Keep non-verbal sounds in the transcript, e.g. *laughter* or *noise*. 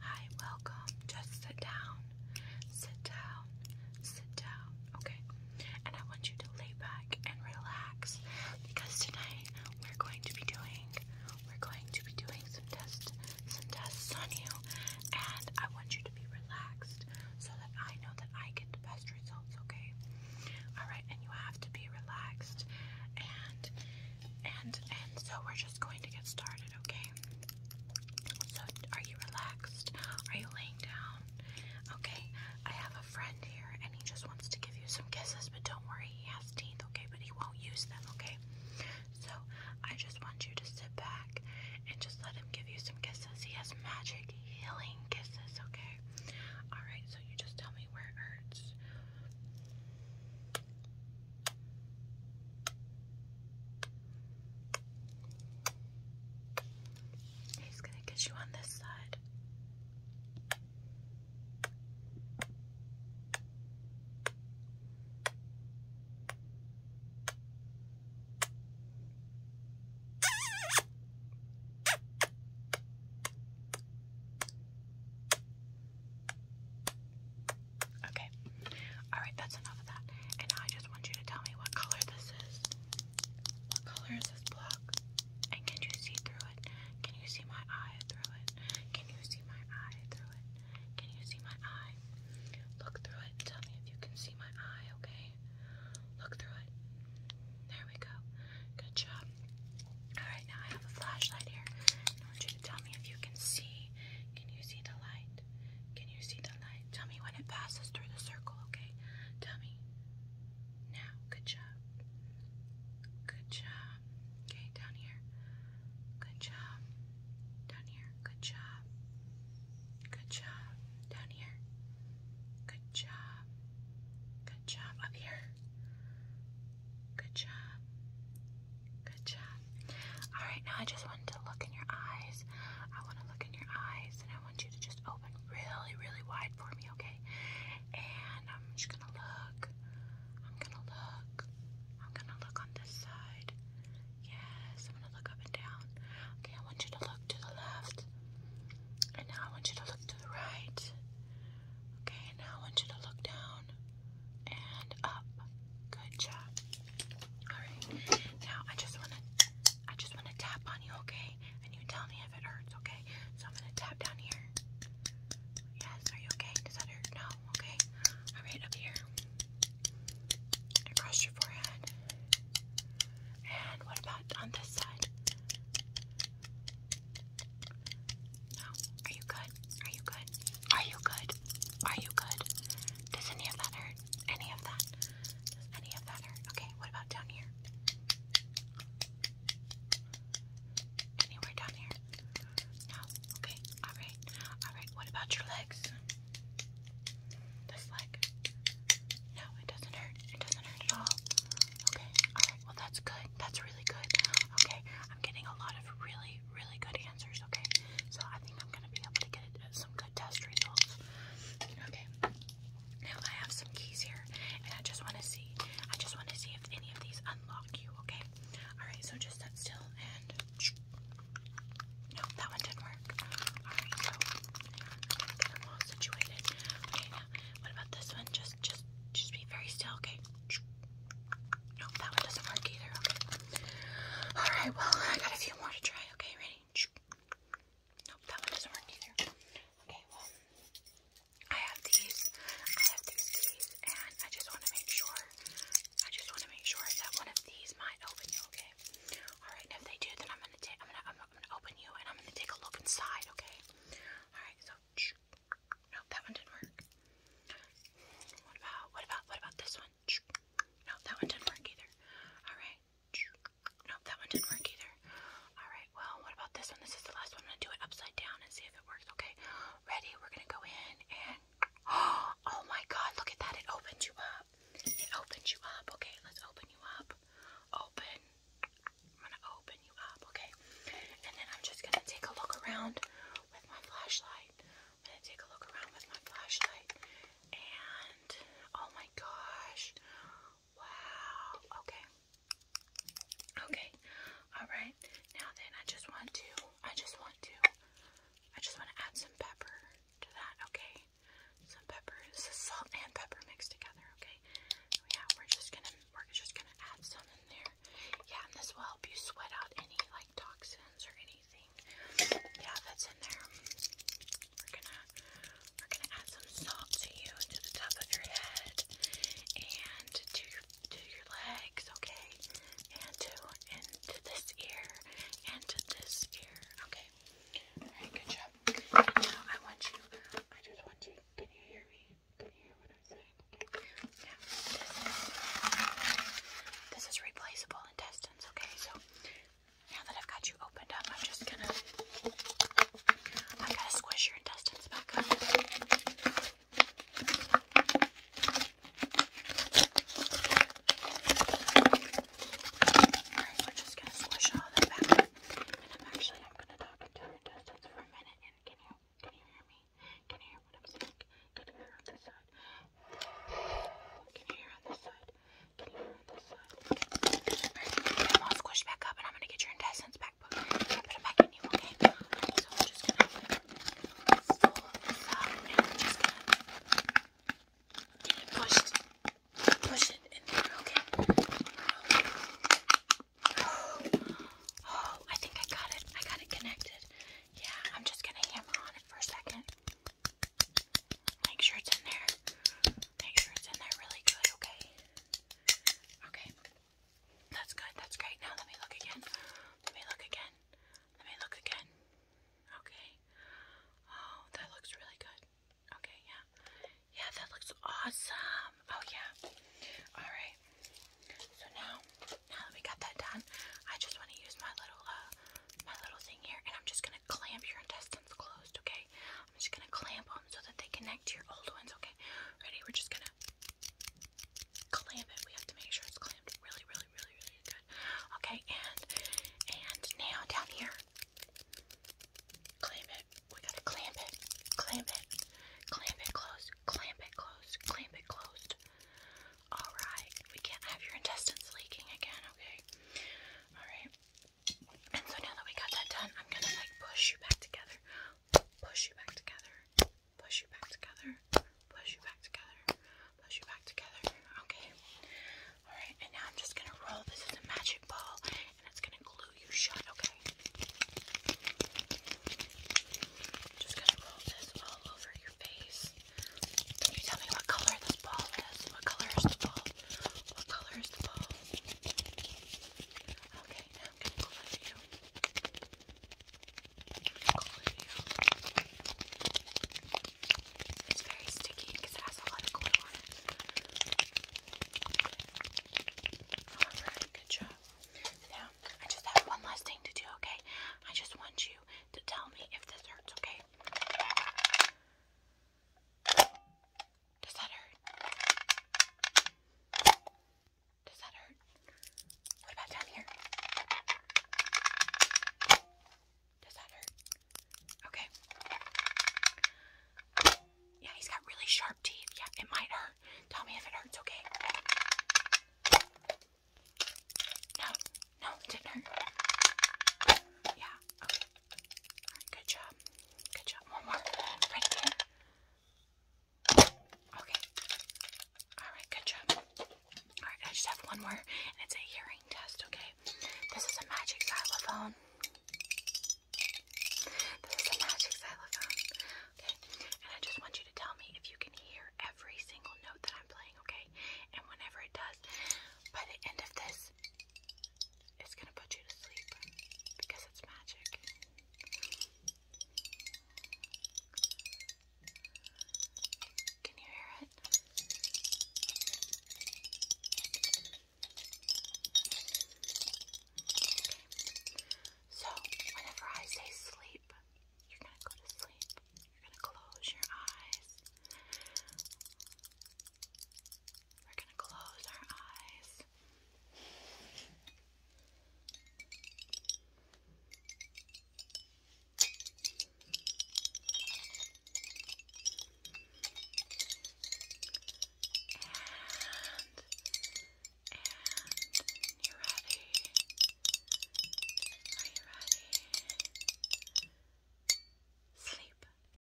Hi, welcome. Just sit down. Sit down. Sit down. Okay. And I want you to lay back and relax because tonight we're going to be doing we're going to be doing some tests some tests on you and I want you to be relaxed so that I know that I get the best results, okay? Alright, and you have to be relaxed and and and so we're just going to get started, okay? So are you relaxed? Are you laying down? Okay. I have a friend here and he just wants to give you some kisses, but don't worry, he has teeth, okay? But he won't use them, okay? So I just want you to sit back and just let him give you some kisses. He has magic healing kisses, okay? Alright, so you just tell me where it hurts. He's going to get you on this side. Okay. Alright, that's enough of that. And I just want you to tell me what color this is. What color is this block? And can you see through it? Can you see my eye through it? Can you see my eye through it? Can you see my eye? Look through it. Tell me if you can see my eye, okay? Look through it. There we go. Good job. Alright, now I have a flashlight here. I want you to tell me if you can see. Can you see the light? Can you see the light? Tell me when it passes through the circle, okay? Tell me. Now, good job. Good job. Okay, down here. Good job. Down here. Good job. Good job. Down here. Good job. Good job up here. Good job. Good job. All right, now I just want to look in your eyes. I want to look in your eyes, and I want you to just open really, really wide for me, okay? And I'm just gonna look. I'm gonna look. I'm gonna look on this side. Yes, I'm gonna look up and down. Okay, I want you to look to the left, and now I want you to look right. Okay, now I want you to look down and up. Good job. Alright. Now I just wanna I just wanna tap on you, okay? And you tell me if it hurts, okay? So I'm gonna tap down here. Yes, are you okay? Does that hurt? No, okay. Alright, up here. Across your forehead. And what about on this side? No. Are you good? Are you good? Are you good? Are you good? Does any of that hurt? Any of that? any of that hurt? Okay, what about down here? Anywhere down here? No? Okay, alright. Alright, what about your legs? This leg. No, it doesn't hurt. It doesn't hurt at all. Okay. Well, that's good. That's really good. Okay. I'm getting a lot of really, really good answers. Okay. So I think I'm gonna be able to get uh, some good test results. Okay. Now I have some keys here, and I just want to see. I just want to see if any of these unlock you. Okay. All right. So just sit still and. No, that one didn't work. Alright, so I'm gonna get them all situated. Okay, now what about this one? Just just just be very still, okay? No, that one doesn't work either, okay. Alright, well I got a few more to try, okay, ready? Nope, that one doesn't work either. Okay, well I have these. I have these these and I just wanna make sure I just wanna make sure that one of these might open you, okay? Alright, and if they do then I'm gonna take I'm gonna I'm I'm gonna open you and I'm gonna take a look inside, okay? Alright, so nope, that one didn't work. What about what about what about this one? No, that one didn't work either. Alright. No, that one didn't work either. Alright, well what about this one? This is the last one. I'm gonna do it upside down and see if it works. Okay. Ready? We're gonna go in and *gasps* oh my god, look at that, it opens you up. It opens you up. Okay, let's open you up. Open. I'm gonna open you up. Okay, and then I'm just gonna take a look around with my flashlight. I'm gonna take a look around with my flashlight. And oh my gosh. Wow. Okay. Okay. Alright. Now then I just want to I just want to I just want to add some pepper to that, okay? some pepper, salt and pepper mixed together, okay? yeah, we're just gonna, we're just gonna add some in there. Yeah, and this will help you sweat out any like toxins or anything. Yeah, that's in there. We're gonna, we're gonna add some salt to you, to the top of your head, and to your, to your legs, okay? And to, and to this ear, and this ear. Okay. Alright, good job. now I want you, I just want you, can you hear me? Can you hear what I'm saying? Okay. this is replaceable intestines, okay? So, now that I've got you opened up, I'm just gonna, I gotta squish your intestines back up. Alright, we're just gonna squish all that back. And I'm actually I'm gonna talk into her distance for a minute and can you can you hear me? Can you hear what I'm saying? Can you hear on this side? Can you hear on this side? Can you hear on this side? Alright, I'm all squished back up and I'm gonna get your intestines back, but I'm gonna put it back in you, okay? So I'm just gonna i oh, I think I got it. I got it connected. Yeah, I'm just gonna hammer on it for a second. Make sure it's in there. Make sure it's in there really good, okay? Okay. That's good, that's great. Now let me look again. Let me look again. Let me look again. Okay. Oh, that looks really good. Okay, yeah. Yeah, that looks awesome. Oh, yeah. Alright. So now, now that we got that done, I just want to use my little, uh, my little thing here, and I'm just going to clamp your intestines closed, okay? I'm just going to clamp them so that they connect to your old ones, okay? Ready? We're just going to clamp it. We have to make sure it's clamped really, really, really, really good. Okay, and and now down here, clamp it. We gotta clamp it, clamp it, clamp it closed, clamp it closed, clamp it closed. All right, we can't have your intestines leaking again. Okay, all right. And so now that we got that done, I'm gonna like push you back together, push you back together, Push you back together. Push you back together. Push you back together. Okay. Alright, and now I'm just gonna roll this as a magic ball and it's gonna glue you shut, okay? just gonna roll this all over your face. tell me what color this ball is? What color is the ball? What color is the ball? Okay, I'm gonna you. I'm gonna you. It's very sticky because it has a lot of glue on it. good job. Now, I just have one last thing to do, okay? I just want you to tell me if this hurts, okay? Does that hurt? Does that hurt? What about down here? Does that hurt? Okay. Yeah, he's got really sharp teeth. Yeah, it might hurt. Tell me if it hurts, okay? No, no, it didn't hurt. Yeah, okay. All right, good job. Good job. One more. Right here. Okay. Alright, good job. Alright, I just have one more, and it's a hearing test, okay? This is a magic xylophone. This is a magic xylophone. Okay? And I just want you to tell me if you can hear every single note that I'm playing, okay? And whenever it does, by the end of this, it's gonna put you to sleep because it's magic. Can you hear it? So, whenever I say sleep, you're gonna go to sleep. You're gonna close your eyes. We're gonna close our eyes this. And, and you're ready. Are you ready? Sleep.